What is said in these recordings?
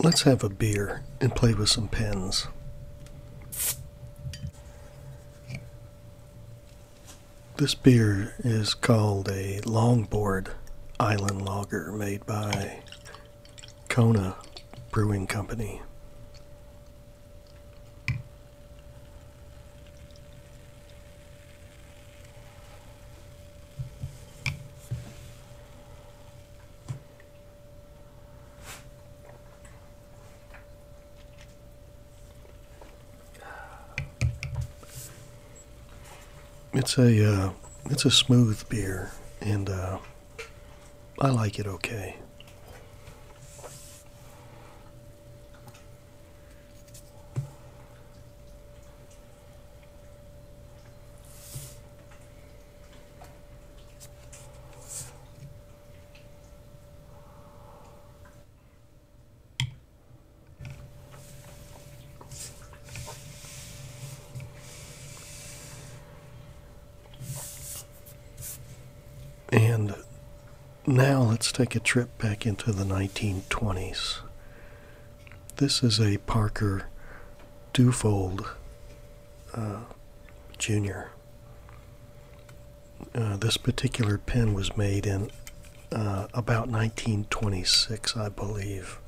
Let's have a beer and play with some pens. This beer is called a Longboard Island Lager made by Kona Brewing Company. It's a uh, it's a smooth beer and uh, I like it okay. And now let's take a trip back into the 1920s. This is a Parker Dufold uh, Jr. Uh, this particular pen was made in uh, about 1926, I believe.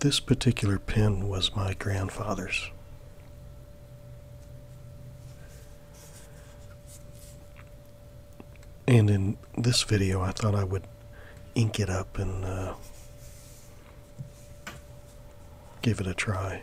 This particular pen was my grandfather's. And in this video, I thought I would ink it up and uh, give it a try.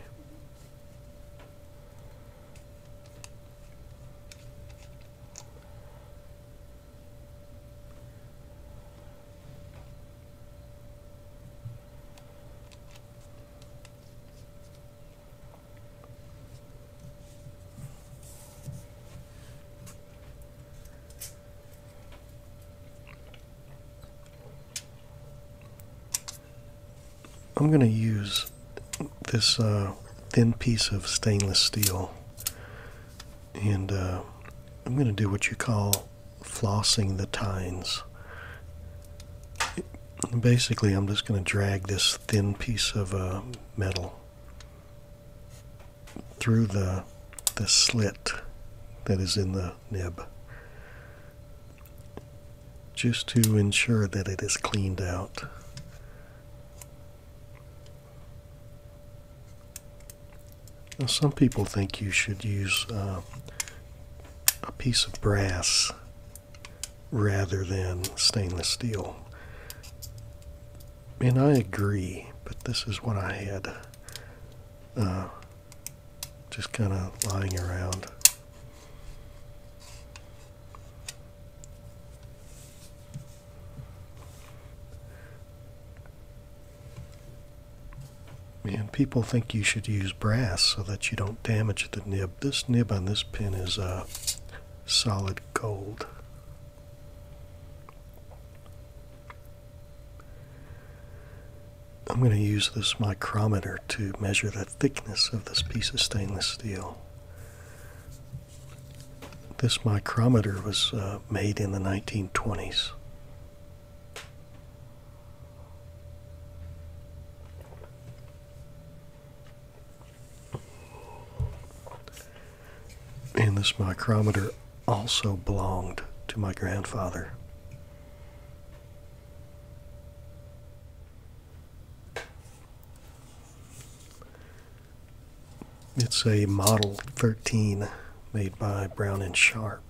I'm going to use this uh, thin piece of stainless steel, and uh, I'm going to do what you call flossing the tines. Basically, I'm just going to drag this thin piece of uh, metal through the the slit that is in the nib just to ensure that it is cleaned out some people think you should use uh, a piece of brass rather than stainless steel. And I agree, but this is what I had uh, just kind of lying around. And people think you should use brass so that you don't damage the nib. This nib on this pen is uh, solid gold. I'm going to use this micrometer to measure the thickness of this piece of stainless steel. This micrometer was uh, made in the 1920s. And this micrometer also belonged to my grandfather. It's a Model 13 made by Brown and Sharp.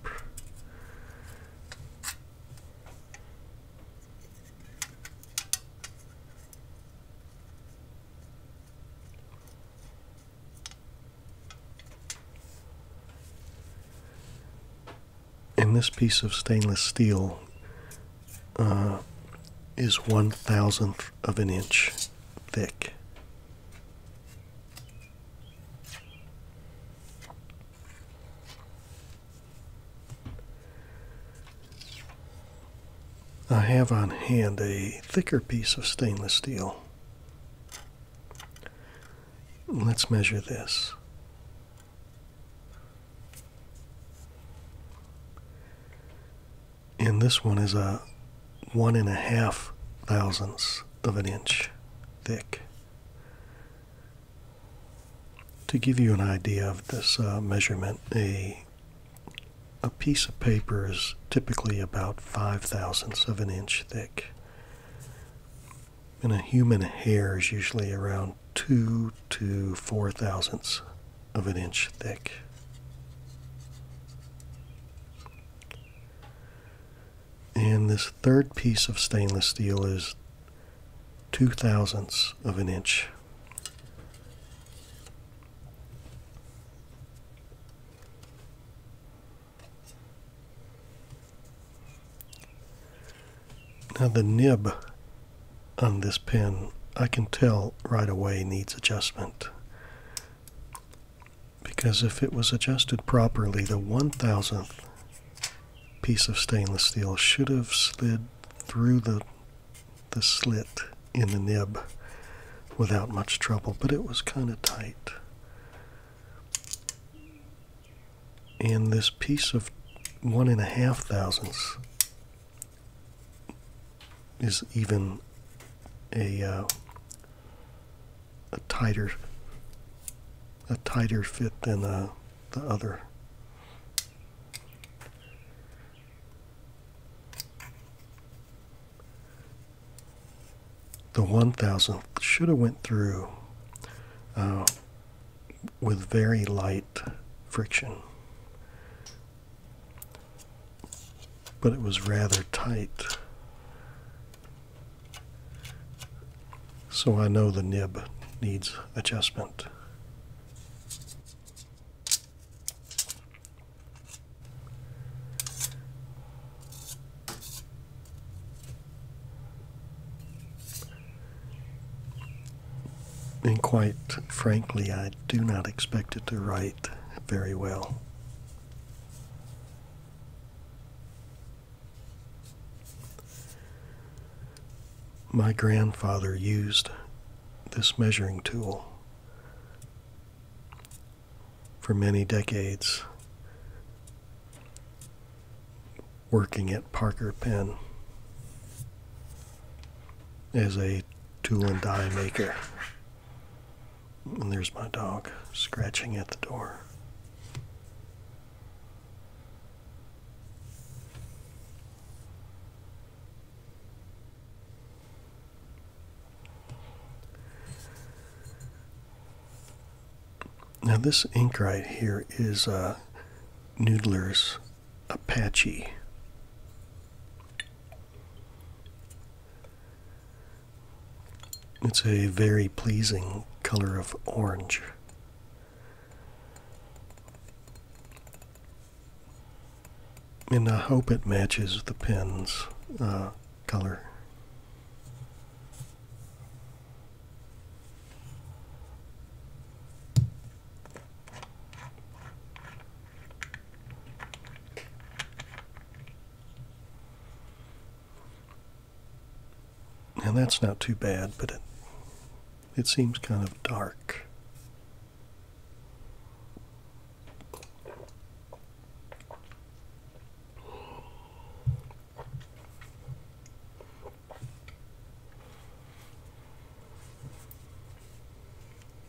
In this piece of stainless steel uh, is one thousandth of an inch thick. I have on hand a thicker piece of stainless steel. Let's measure this. And this one is a one and a half thousandths of an inch thick. To give you an idea of this uh, measurement, a, a piece of paper is typically about five thousandths of an inch thick. And a human hair is usually around two to four thousandths of an inch thick. And this third piece of stainless steel is two thousandths of an inch. Now the nib on this pen, I can tell right away needs adjustment because if it was adjusted properly the 1000th piece of stainless steel should have slid through the the slit in the nib without much trouble but it was kind of tight and this piece of one and a half thousandths is even a uh, a tighter a tighter fit than uh, the other. The one thousandth should have went through uh, with very light friction but it was rather tight. So I know the nib needs adjustment and quite frankly, I do not expect it to write very well. My grandfather used this measuring tool for many decades working at Parker Pen. As a tool and die maker. And there's my dog scratching at the door. Now this ink right here is uh, Noodler's Apache. It's a very pleasing color of orange. And I hope it matches the pen's uh, color. And that's not too bad, but it, it seems kind of dark.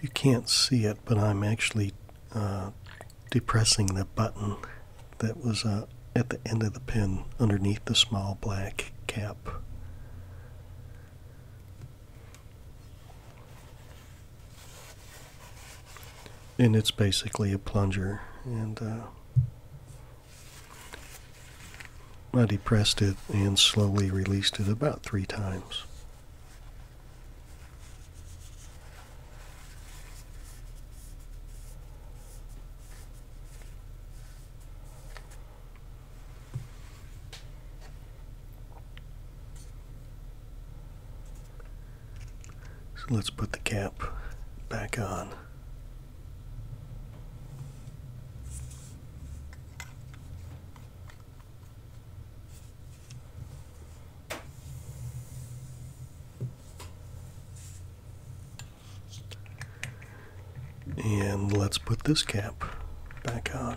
You can't see it, but I'm actually uh, depressing the button that was uh, at the end of the pin underneath the small black cap. And it's basically a plunger, and uh, I depressed it and slowly released it about three times. So let's put the cap back on. And let's put this cap back on.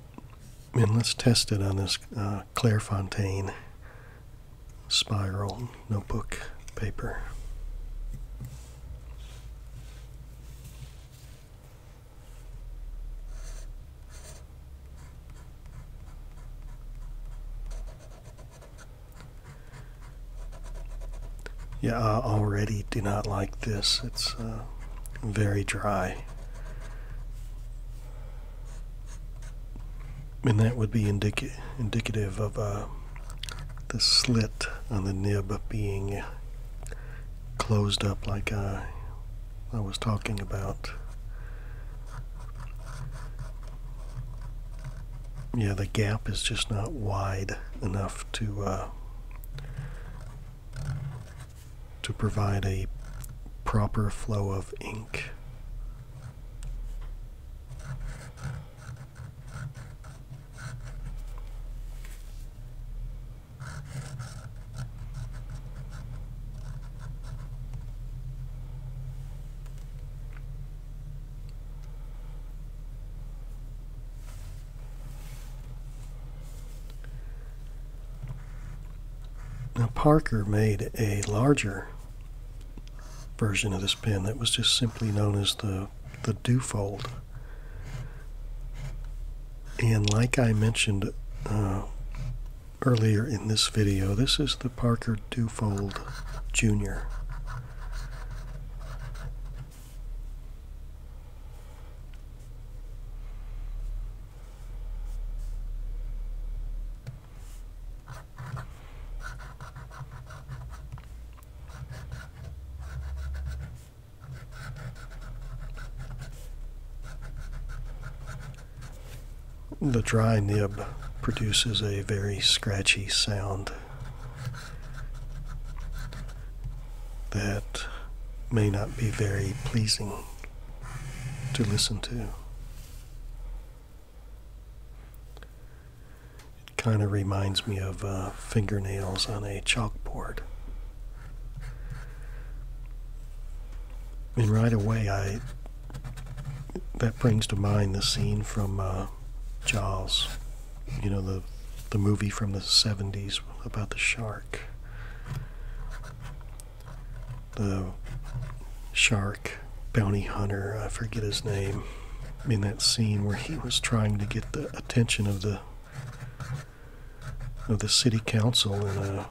and let's test it on this uh, Clairefontaine spiral notebook paper. Yeah, I already do not like this. It's uh, very dry and that would be indicative of uh, the slit on the nib being closed up like uh, I, was talking about. Yeah, the gap is just not wide enough to uh, to provide a proper flow of ink. Now, Parker made a larger version of this pen that was just simply known as the, the Dewfold. And like I mentioned uh, earlier in this video, this is the Parker Dufold Jr. The dry nib produces a very scratchy sound that may not be very pleasing to listen to. It kind of reminds me of uh, fingernails on a chalkboard. And right away, I that brings to mind the scene from uh, Jaws, you know, the, the movie from the 70s about the shark the shark bounty hunter, I forget his name, in that scene where he was trying to get the attention of the of the city council and uh,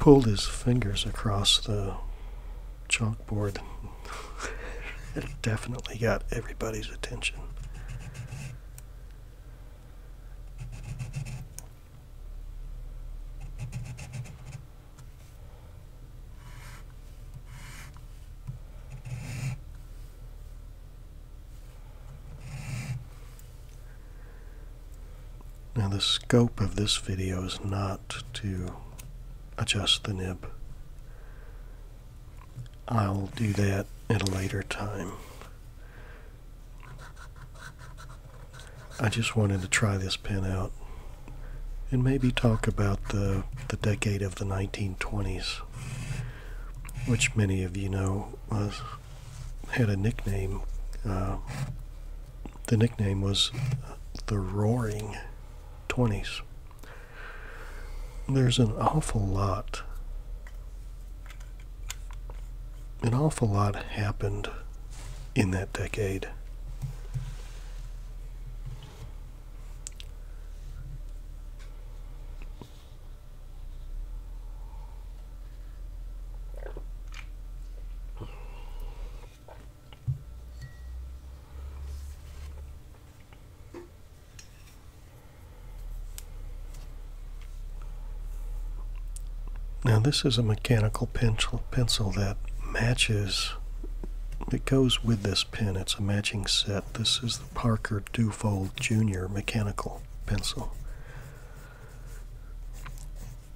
pulled his fingers across the chalkboard. it definitely got everybody's attention. Now the scope of this video is not to adjust the nib. I'll do that at a later time. I just wanted to try this pen out and maybe talk about the, the decade of the 1920s, which many of you know was, had a nickname. Uh, the nickname was the Roaring Twenties. There's an awful lot an awful lot happened in that decade. Now this is a mechanical pencil, that matches, It goes with this pen. It's a matching set. This is the Parker Dufold Jr. mechanical pencil.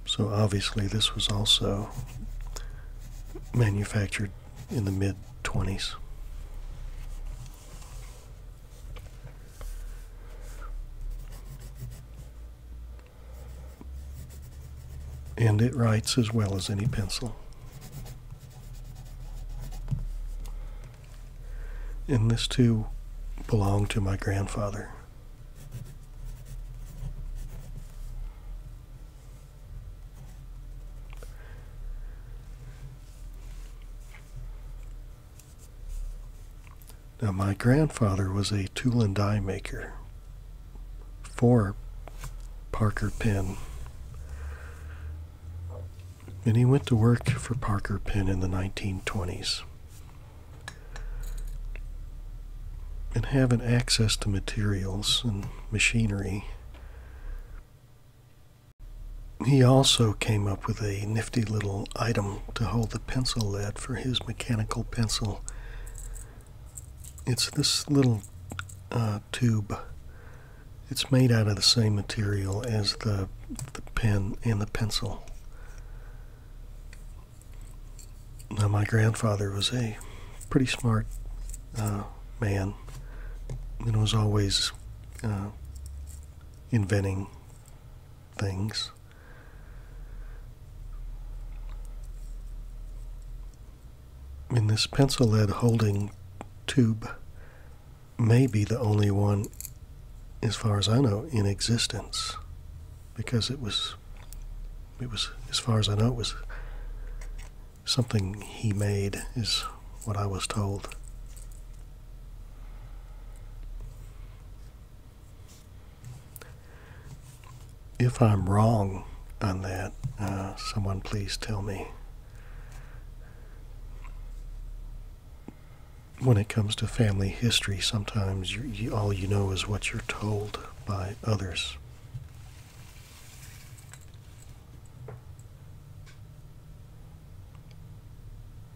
So obviously this was also manufactured in the mid 20s. And it writes as well as any pencil. And this too belonged to my grandfather. Now, my grandfather was a tool and die maker for Parker Pen, And he went to work for Parker Pen in the 1920s. And having access to materials and machinery he also came up with a nifty little item to hold the pencil lead for his mechanical pencil. It's this little uh, tube. It's made out of the same material as the, pen and the pencil. Now, my grandfather was a pretty smart uh, man and was always uh, inventing things. In this pencil lead holding tube may be the only one, as far as I know, in existence, because it was, it was, as far as I know, it was something he made, is what I was told. If I'm wrong on that, uh, someone please tell me. When it comes to family history, sometimes all you know is what you're told by others.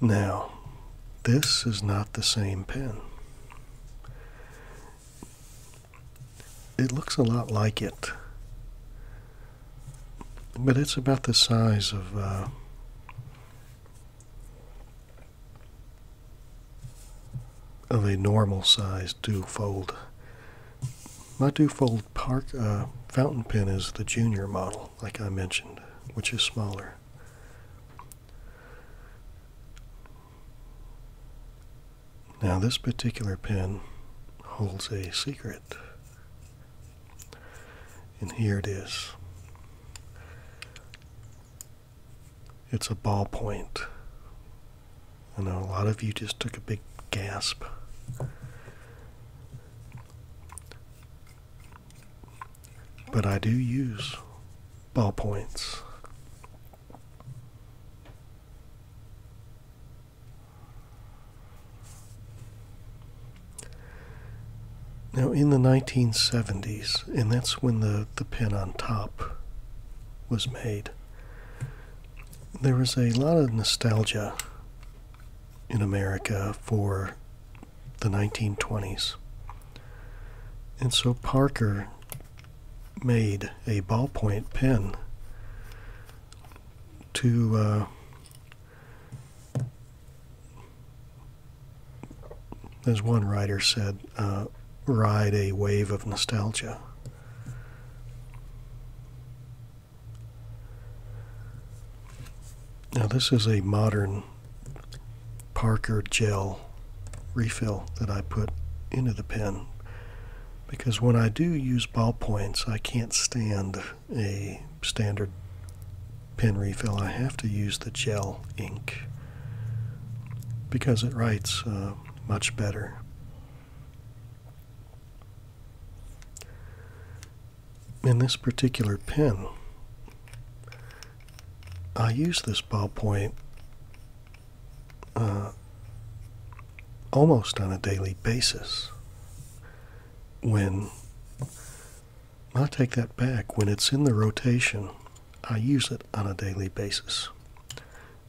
Now, this is not the same pen. It looks a lot like it, but it's about the size of. Uh, of a normal size dew fold. My dew fold park uh, fountain pen is the junior model, like I mentioned, which is smaller. Now, this particular pen holds a secret, and here it is it's a ballpoint. I know a lot of you just took a big gasp. But I do use ballpoints. Now, in the 1970s, and that's when the, the pen on top was made, there was a lot of nostalgia in America for the 1920s. And so Parker made a ballpoint pen to uh, as one writer said, uh, ride a wave of nostalgia. Now, this is a modern Parker gel refill that I put into the pen because when I do use ballpoints, I can't stand a standard pen refill. I have to use the gel ink because it writes uh, much better in this particular pen, I use this ballpoint uh, almost on a daily basis. When I take that back, when it's in the rotation, I use it on a daily basis,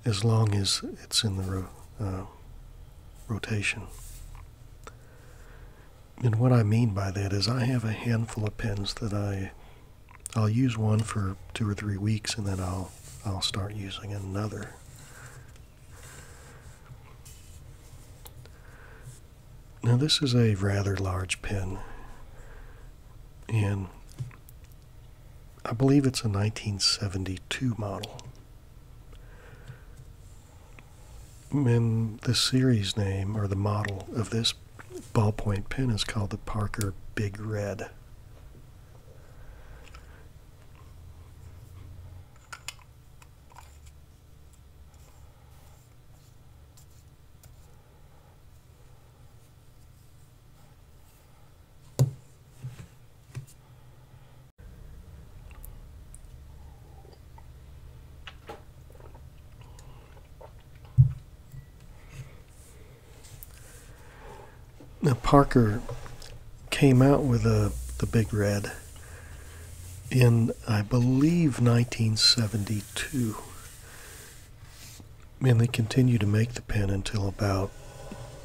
as long as it's in the uh, rotation and what I mean by that is I have a handful of pens that I I'll use one for two or three weeks and then I'll I'll start using another. Now this is a rather large pen and I believe it's a 1972 model the series name or the model of this ballpoint pen is called the Parker Big Red. Now Parker came out with a, uh, the Big Red in, I believe, 1972. And they continued to make the pen until about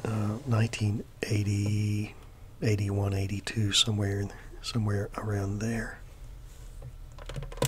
1980, uh, 81, 82, somewhere, somewhere around there.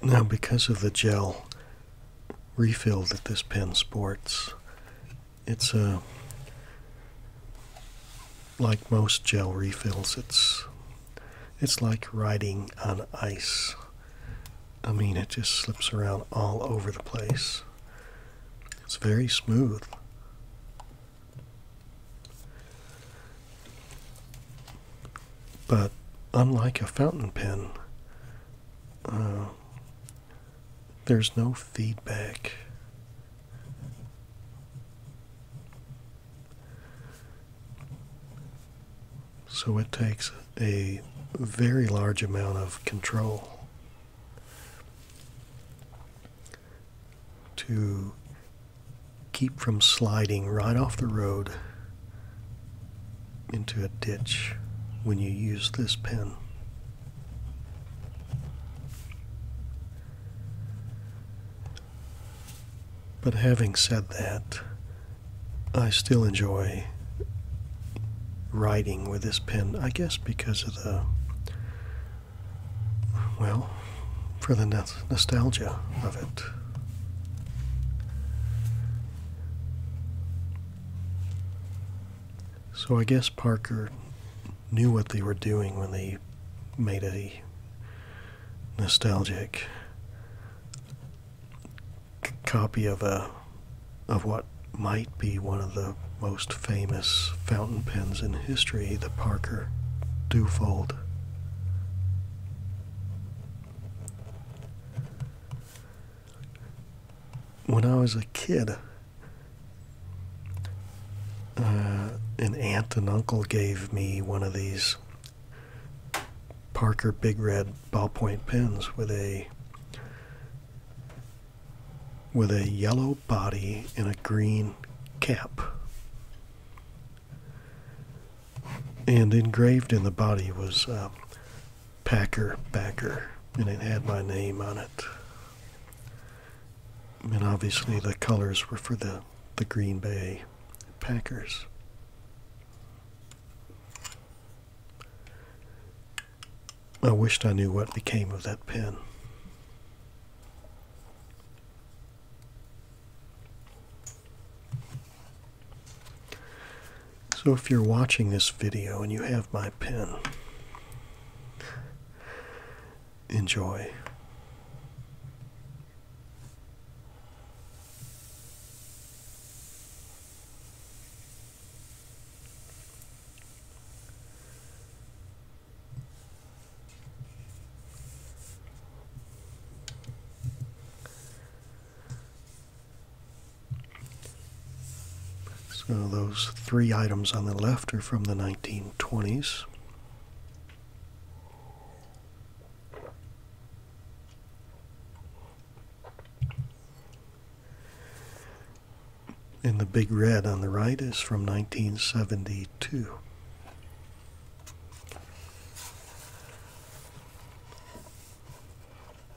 Now, because of the gel refill that this pen sports, it's a uh, like most gel refills. It's it's like riding on ice. I mean, it just slips around all over the place. It's very smooth. But unlike a fountain pen, uh, there's no feedback. So it takes a very large amount of control to keep from sliding right off the road into a ditch when you use this pen. But having said that, I still enjoy writing with this pen, I guess because of the, well, for the nostalgia of it. So I guess Parker knew what they were doing when they made a nostalgic copy of a of what might be one of the most famous fountain pens in history, the Parker Dufold. When I was a kid, uh, an aunt and uncle gave me one of these Parker Big Red ballpoint pens with a with a yellow body and a green cap. And engraved in the body was uh, Packer Backer, and it had my name on it. And obviously the colors were for the, the Green Bay Packers. I wished I knew what became of that pen. So if you're watching this video and you have my pen, enjoy. So those three items on the left are from the 1920s and the big red on the right is from 1972.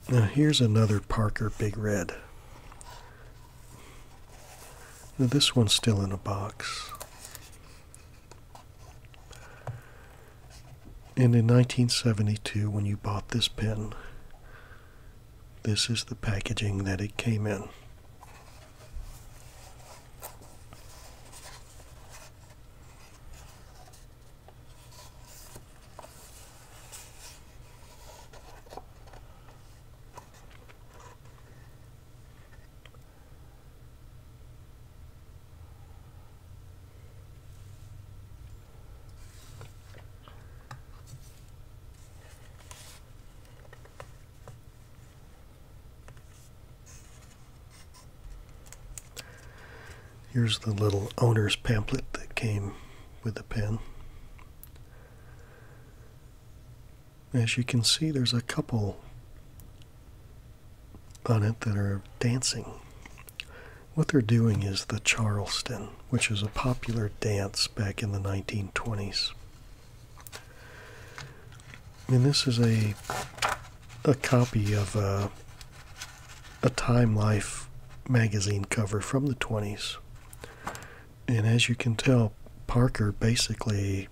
Now here's another Parker Big Red. this one's still in a box. And in 1972, when you bought this pen, this is the packaging that it came in. Here's the little owner's pamphlet that came with the pen. As you can see, there's a couple on it that are dancing. What they're doing is the Charleston which was a popular dance back in the 1920s. And this is a a copy of a, a Time Life magazine cover from the 20s. And as you can tell, Parker basically,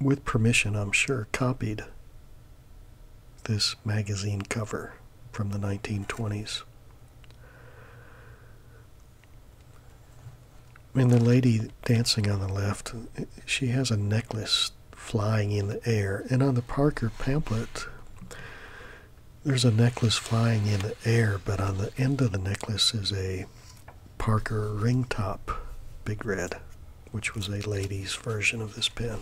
with permission, I'm sure, copied this magazine cover from the 1920s. And the lady dancing on the left, she has a necklace flying in the air. And on the Parker pamphlet, there's a necklace flying in the air, but on the end of the necklace is a Parker ring top, big red, which was a lady's version of this pen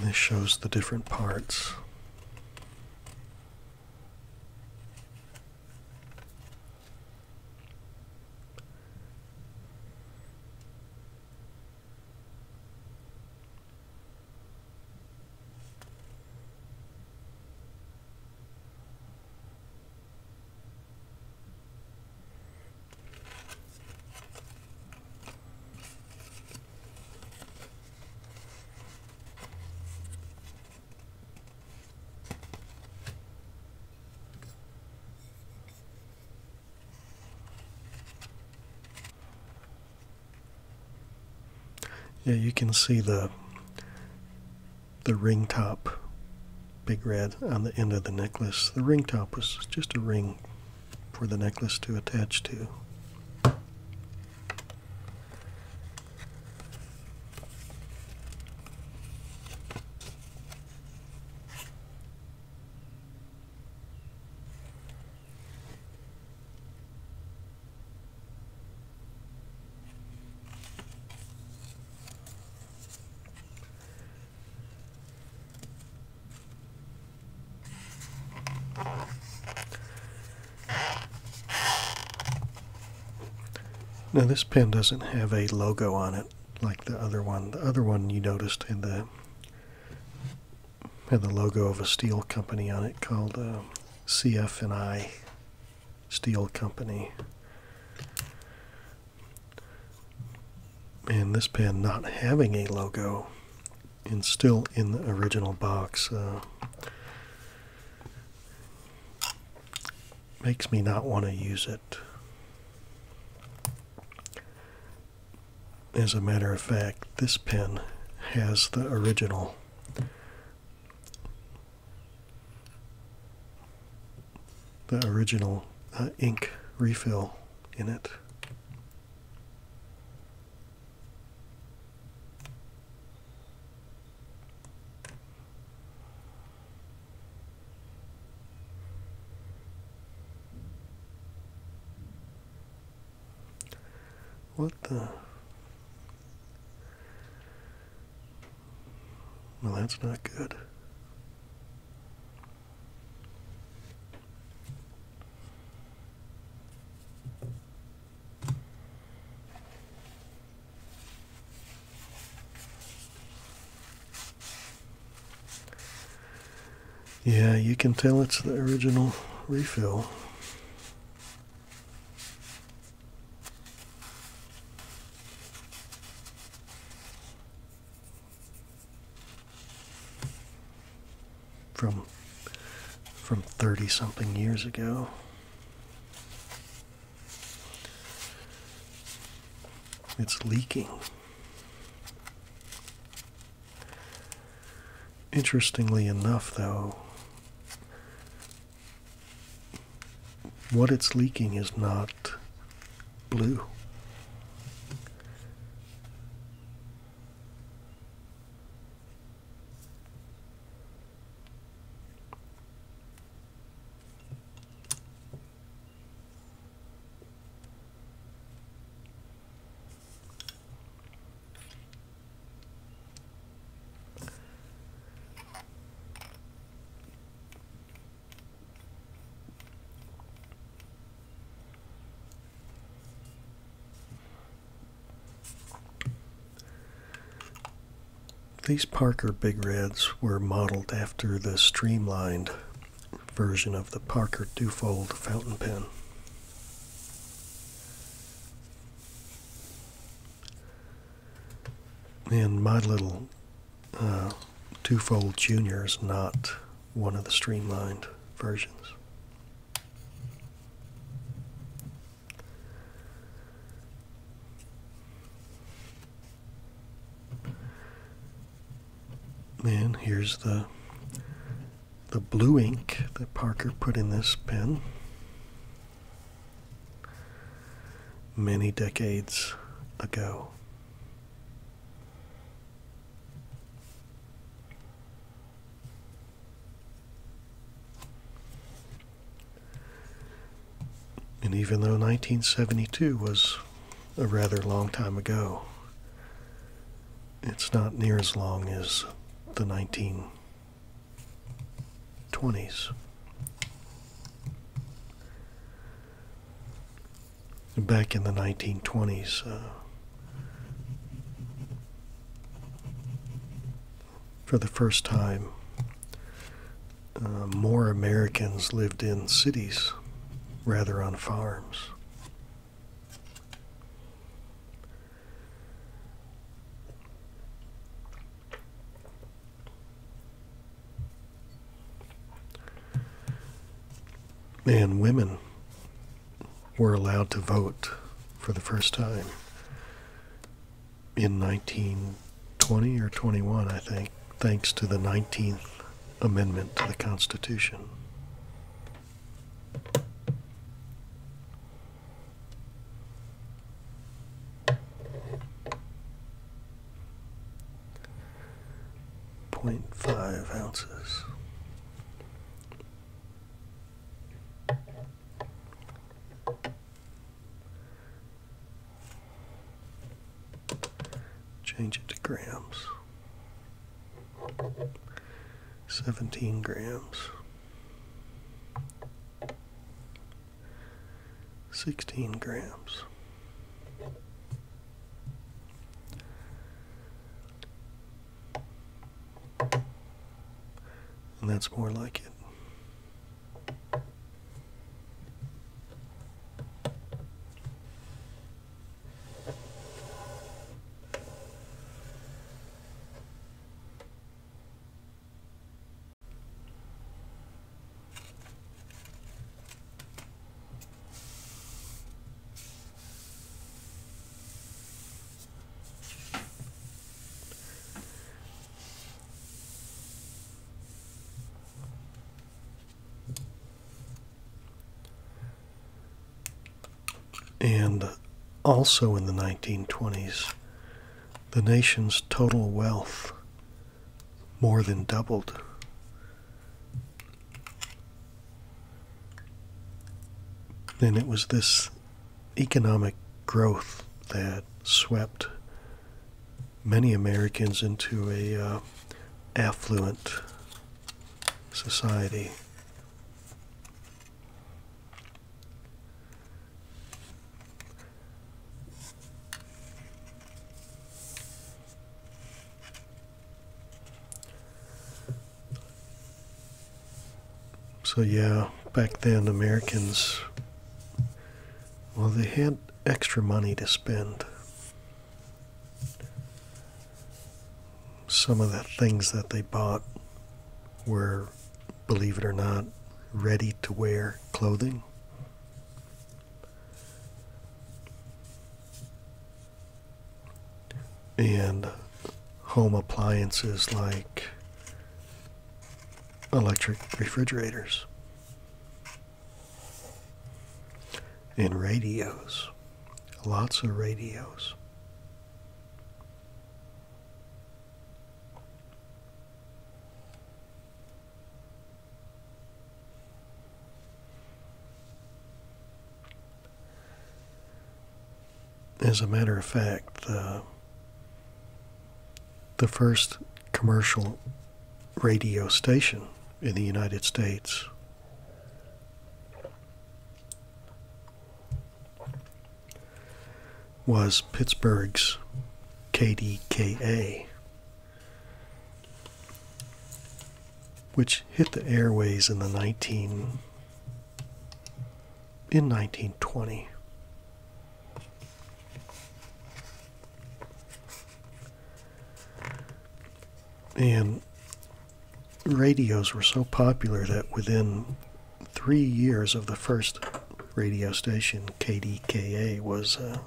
this shows the different parts. Yeah, you can see the the ring top, big red on the end of the necklace. The ring top was just a ring for the necklace to attach to. Now this pen doesn't have a logo on it like the other one. The other one you noticed had the had the logo of a steel company on it called uh, CF&I Steel Company and this pen not having a logo and still in the original box uh, makes me not want to use it. As a matter of fact, this pen has the original the original uh, ink refill in it. What the? Well, that's not good. Yeah, you can tell it's the original refill from from 30 something years ago it's leaking interestingly enough though what it's leaking is not blue. These Parker Big Reds were modeled after the streamlined version of the Parker Dufold fountain pen. And my little uh, two-fold Junior is not one of the streamlined versions. Then here's the the blue ink that Parker put in this pen many decades ago. And even though 1972 was a rather long time ago, it's not near as long as the 1920s back in the 1920s. Uh, for the first time, uh, more Americans lived in cities rather on farms. Men And women were allowed to vote for the first time in 1920 or 21, I think, thanks to the 19th Amendment to the Constitution. 0.5 ounces. Change it to grams. 17 grams. 16 grams. And that's more like it. And also in the 1920s, the nation's total wealth more than doubled. And it was this economic growth that swept many Americans into a uh, affluent society. So, yeah, back then, Americans, well, they had extra money to spend. Some of the things that they bought were, believe it or not, ready to wear clothing and home appliances like electric refrigerators and radios, lots of radios. As a matter of fact, uh, the first commercial radio station in the United States was Pittsburgh's KDKA which hit the airways in the 19 in 1920 and radios were so popular that within 3 years of the first radio station KDKA was uh,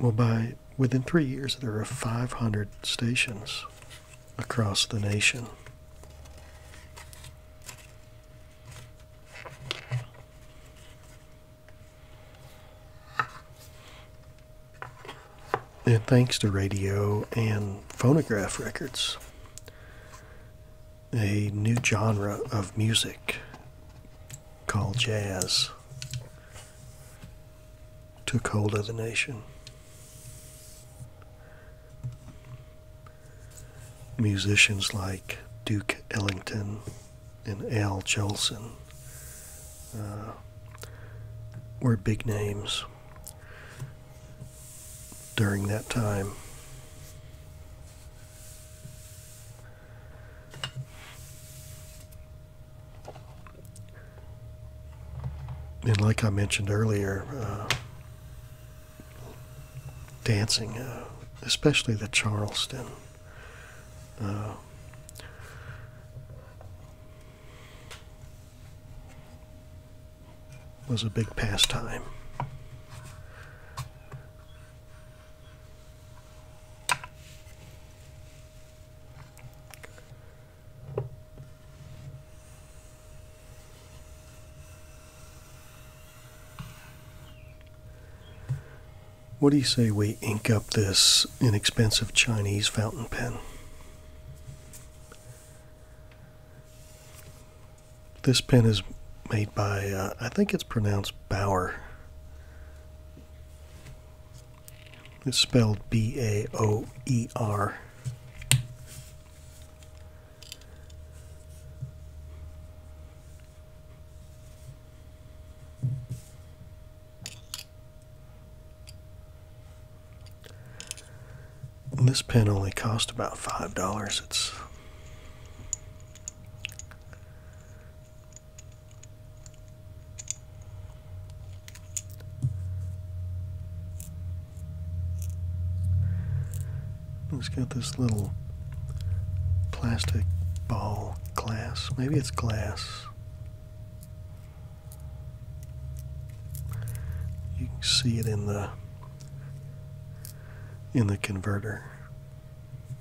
well, by within three years, there are 500 stations across the nation. And thanks to radio and phonograph records, a new genre of music called jazz took hold of the nation. Musicians like Duke Ellington and Al Jolson uh, were big names during that time. And like I mentioned earlier, uh, dancing, uh, especially the Charleston. Uh, was a big pastime. What do you say we ink up this inexpensive Chinese fountain pen? This pen is made by, uh, I think it's pronounced Bauer. It's spelled B A O E R. This pen only cost about five dollars. It's it's got this little plastic ball glass. Maybe it's glass. You can see it in the in the converter.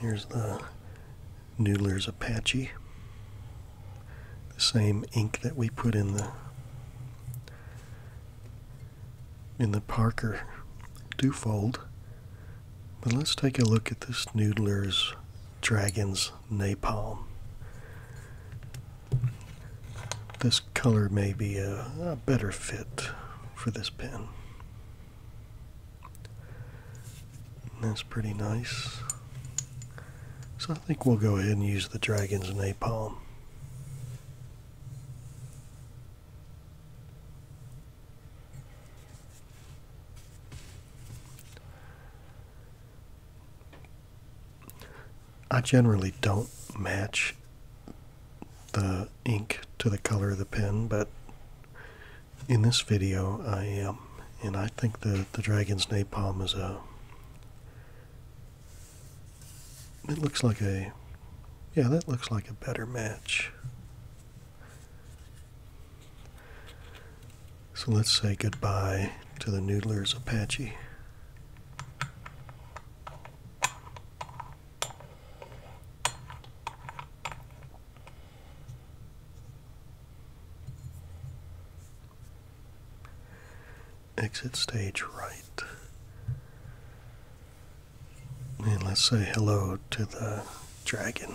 Here's the Noodler's Apache. The same ink that we put in the in the Parker Dufold but let's take a look at this Noodler's Dragon's Napalm. This color may be a, better fit for this pen. That's pretty nice. So I think we'll go ahead and use the Dragon's Napalm. I generally don't match the ink to the color of the pen, but in this video I am, and I think that the dragon's napalm is a, it looks like a, yeah, that looks like a better match. So let's say goodbye to the Noodler's Apache. Exit stage right. And let's say hello to the dragon.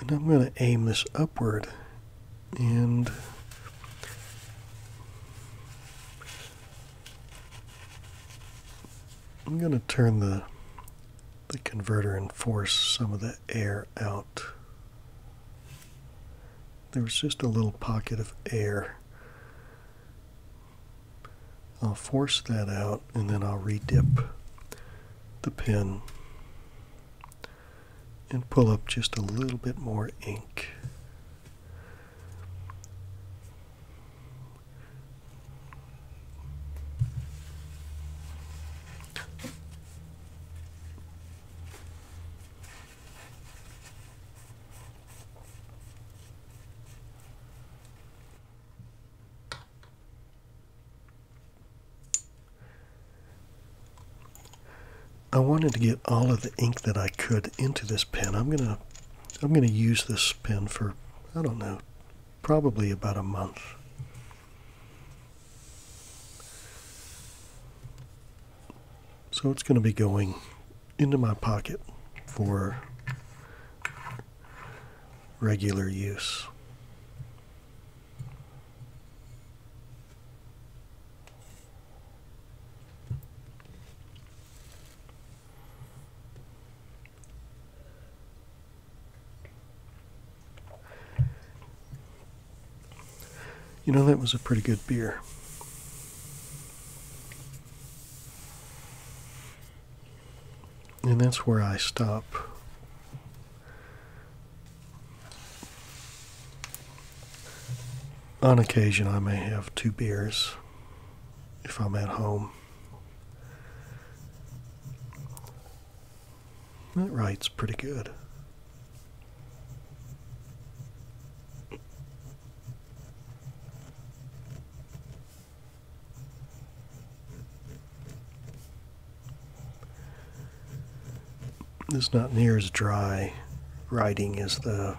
And I'm going to aim this upward and I'm going to turn the the converter and force some of the air out. There was just a little pocket of air. I'll force that out and then I'll redip the pen and pull up just a little bit more ink. I wanted to get all of the ink that I could into this pen. I'm going to I'm going to use this pen for, I don't know, probably about a month. So it's going to be going into my pocket for regular use. You know, that was a pretty good beer. And that's where I stop. On occasion, I may have two beers if I'm at home. That writes pretty good. It's not near as dry writing as the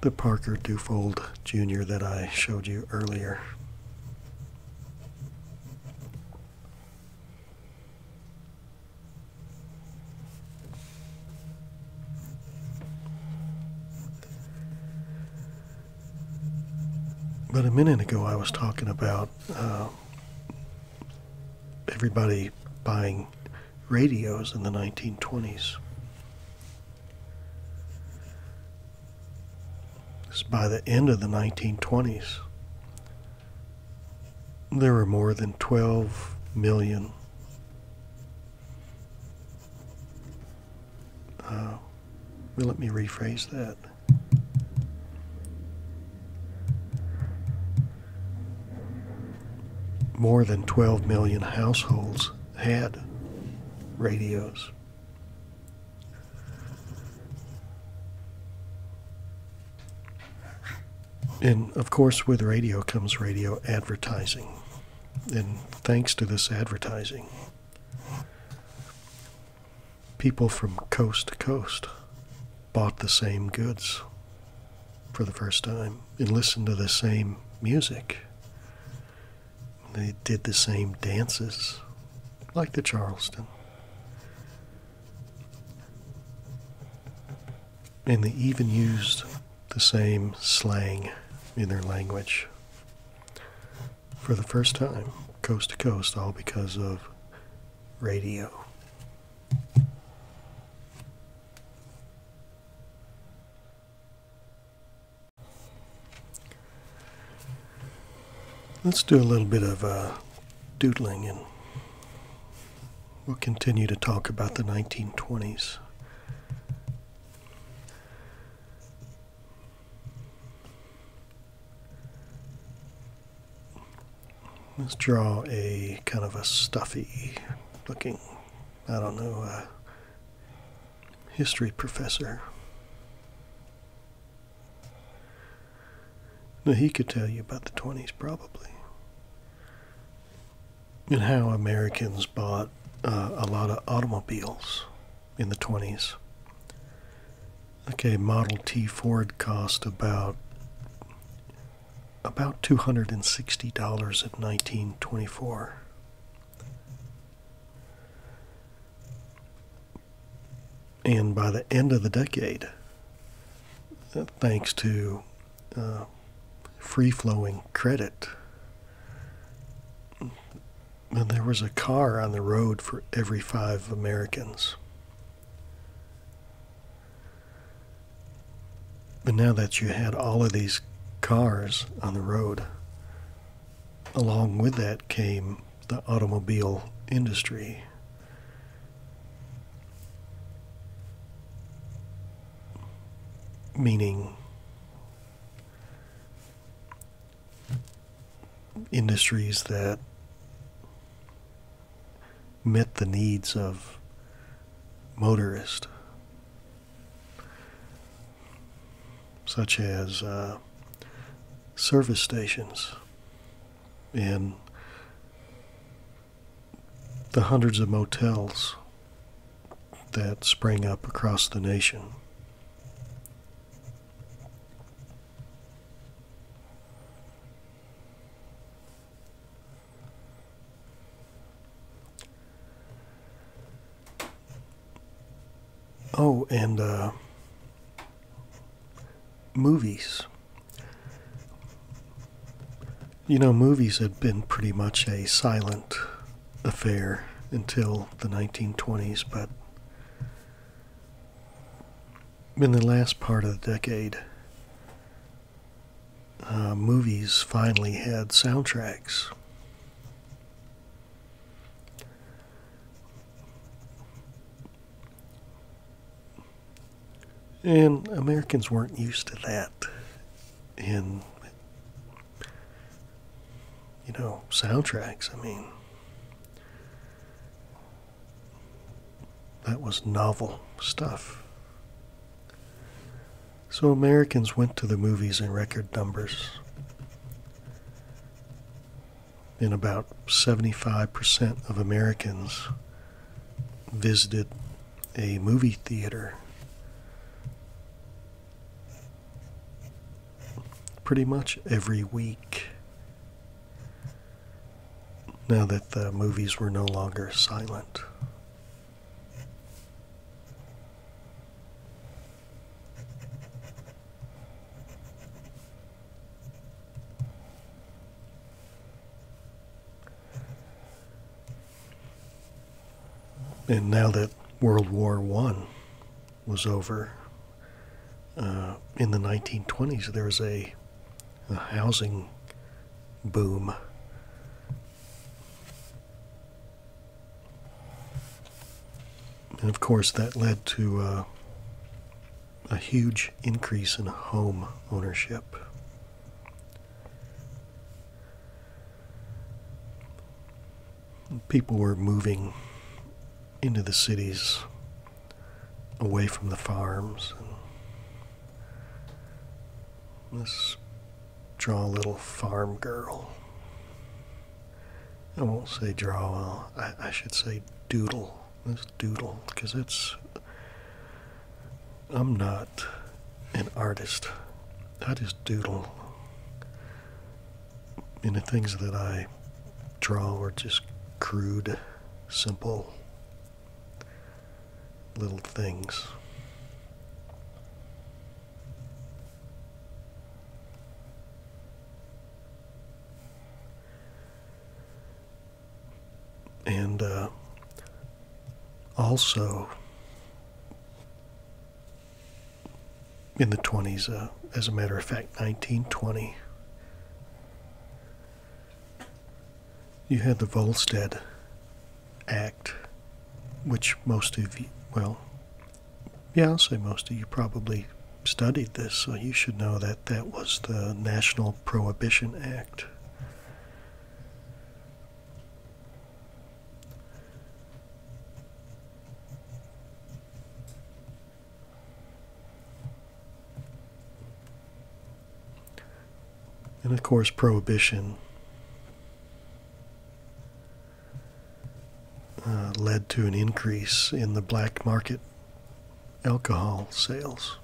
the Parker Dufold Jr. that I showed you earlier. But a minute ago, I was talking about uh, everybody buying radios in the 1920s. by the end of the 1920s, there were more than 12 million uh, well, let me rephrase that. More than 12 million households had radios. And of course, with radio comes radio advertising. And thanks to this advertising, people from coast to coast bought the same goods for the first time and listened to the same music. They did the same dances, like the Charleston. And they even used the same slang in their language for the first time, coast to coast, all because of radio. Let's do a little bit of uh, doodling and we'll continue to talk about the 1920s. Let's draw a kind of a stuffy looking, I don't know, uh, history professor. Now, he could tell you about the 20s probably and how Americans bought uh, a lot of automobiles in the 20s. Okay, Model T Ford cost about about $260 in 1924. And by the end of the decade, uh, thanks to uh, free flowing credit, there was a car on the road for every five Americans. But now that you had all of these cars on the road, along with that came the automobile industry. Meaning, industries that met the needs of motorists such as uh, service stations and the hundreds of motels that sprang up across the nation. Oh, and uh, movies. You know, movies had been pretty much a silent affair until the 1920s, but in the last part of the decade, uh, movies finally had soundtracks. And Americans weren't used to that. And you know, soundtracks, I mean, that was novel stuff. So Americans went to the movies in record numbers. And about 75% of Americans visited a movie theater. Pretty much every week. Now that the movies were no longer silent. And now that World War One was over, uh, in the 1920s there was a housing boom and of course, that led to uh, a huge increase in home ownership. People were moving into the cities away from the farms. this draw a little farm girl. I won't say draw well. I, I should say doodle. Let's doodle because it's. I'm not an artist. I just doodle. And the things that I draw are just crude, simple little things. And uh, also in the 20s, uh, as a matter of fact, 1920, you had the Volstead Act which most of you, well, yeah, I'll say most of you probably studied this, so you should know that that was the National Prohibition Act. And of course, prohibition uh, led to an increase in the black market alcohol sales.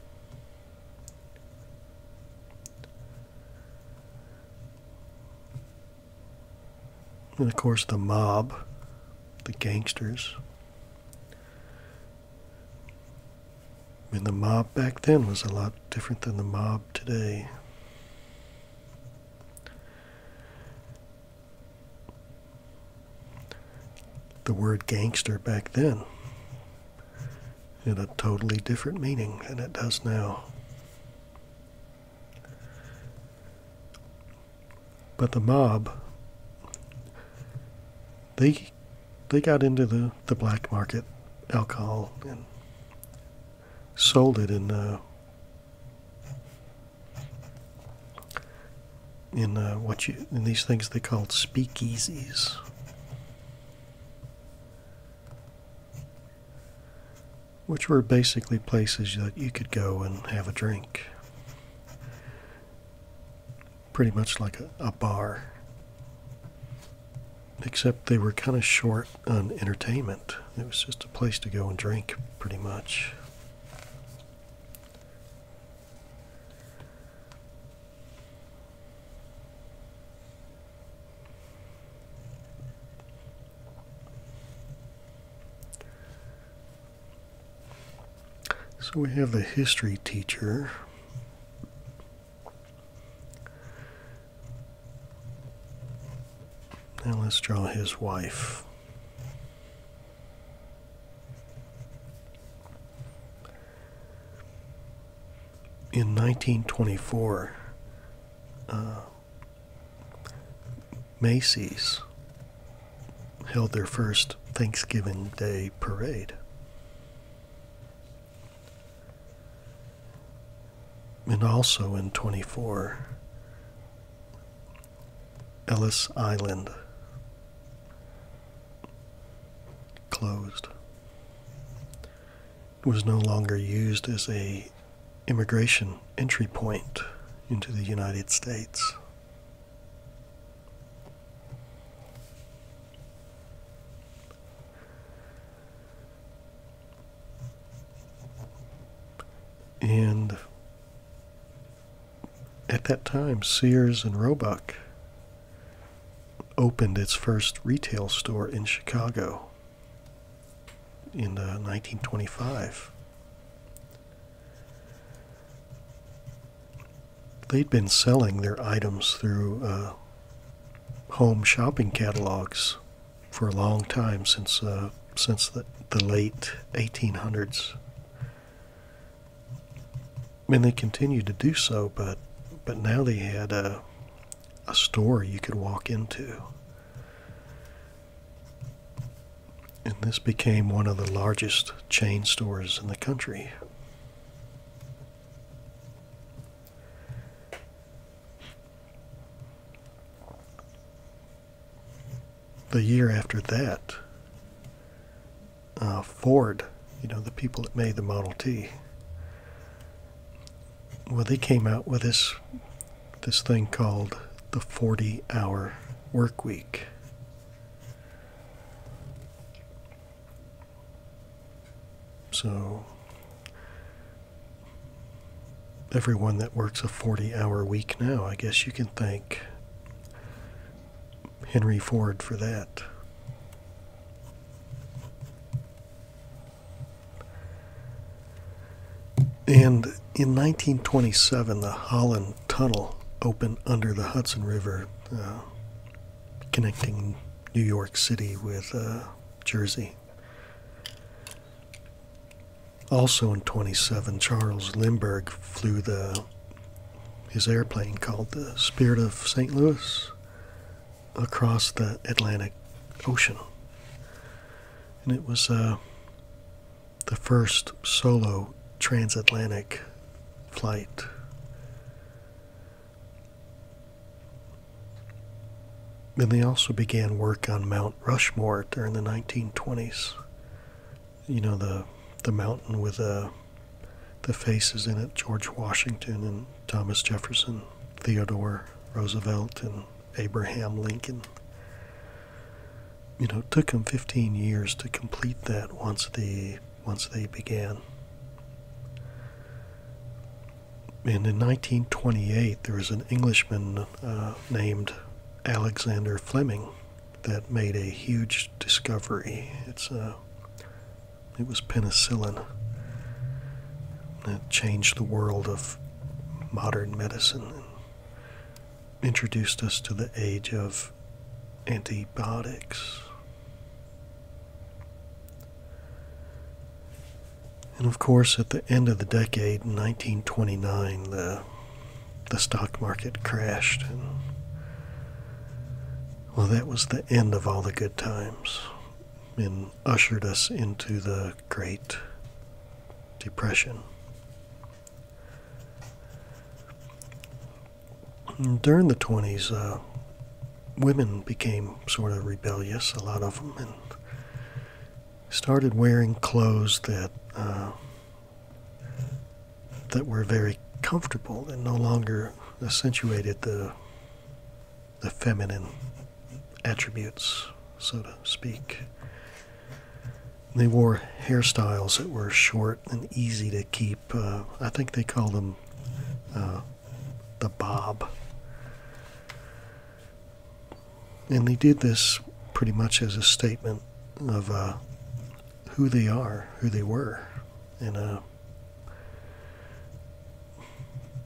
And of course, the mob, the gangsters. I mean, the mob back then was a lot different than the mob today. The word gangster back then had a totally different meaning than it does now. But the mob, they they got into the, the black market alcohol and sold it in the. Uh, in uh, what you in these things they called speakeasies. Which were basically places that you could go and have a drink. Pretty much like a bar. Except they were kind of short art on entertainment. It was just a place to go and drink, pretty much. So we have the history teacher. Now let's draw his wife. In 1924, uh, Macy's held their first Thanksgiving Day parade and also in 24, Ellis Island closed. was no longer used as a immigration entry point into the United States. And at that time, Sears and Roebuck opened its first retail store in Chicago in 1925. Uh, They'd been selling their items through uh, home shopping catalogs for a long time since uh, since the, the late 1800s. And they continued to do so, but but now they had a, a store you could walk into. And this became one of the largest chain stores in the country the year after that, uh, Ford, you know, the people that made the Model T, well, they came out with this this thing called the 40-hour work week. So everyone that works a 40 hour week now. I guess you can thank Henry Ford for that. And in 1927, the Holland Tunnel opened under the Hudson River, uh, connecting New York City with uh, Jersey. Also in 27, Charles Lindbergh flew the his airplane called the Spirit of St. Louis across the Atlantic Ocean. And it was uh, the first solo transatlantic flight. And they also began work on Mount Rushmore during the 1920s. You know, the, the mountain with uh, the faces in it George Washington and Thomas Jefferson, Theodore Roosevelt, and Abraham Lincoln. You know, it took them 15 years to complete that once they, once they began. And in 1928, there was an Englishman uh, named Alexander Fleming that made a huge discovery. It's uh, it was penicillin that changed the world of modern medicine and introduced us to the age of antibiotics. And of course, at the end of the decade, 1929, the, the stock market crashed. And, well, that was the end of all the good times and ushered us into the Great Depression. during the 20s, uh, women became sort of rebellious, a lot of them, started wearing clothes that uh, that were very comfortable and no longer accentuated the the feminine attributes, so to speak. they wore hairstyles that were short and easy to keep. Uh, I think they called them uh, the bob. And they did this pretty much as a statement of uh, who they are, who they were, and uh,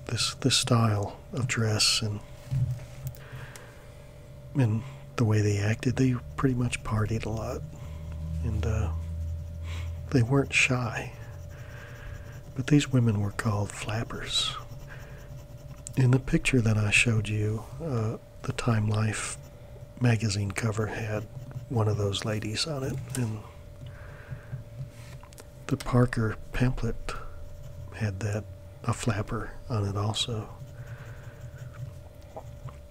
this this style of dress and and the way they acted. They pretty much partied a lot, and uh, they weren't shy. But these women were called flappers, in the picture that I showed you, uh, the Time Life magazine cover had one of those ladies on it, and the Parker pamphlet had that a flapper on it also.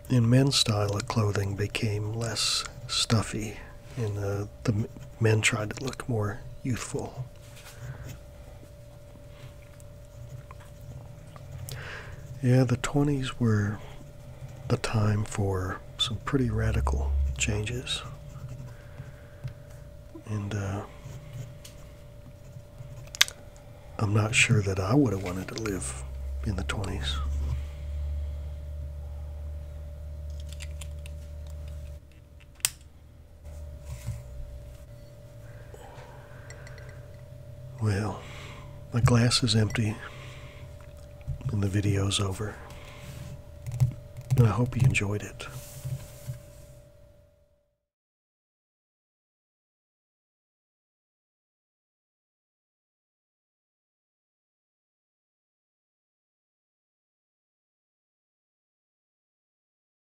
In men's style of clothing became less stuffy, and uh, the men tried to look more youthful. Yeah, the 20s were a time for some pretty radical changes. And uh, I'm not sure that I would have wanted to live in the 20s. Well, my glass is empty and the video's over. I hope you enjoyed it.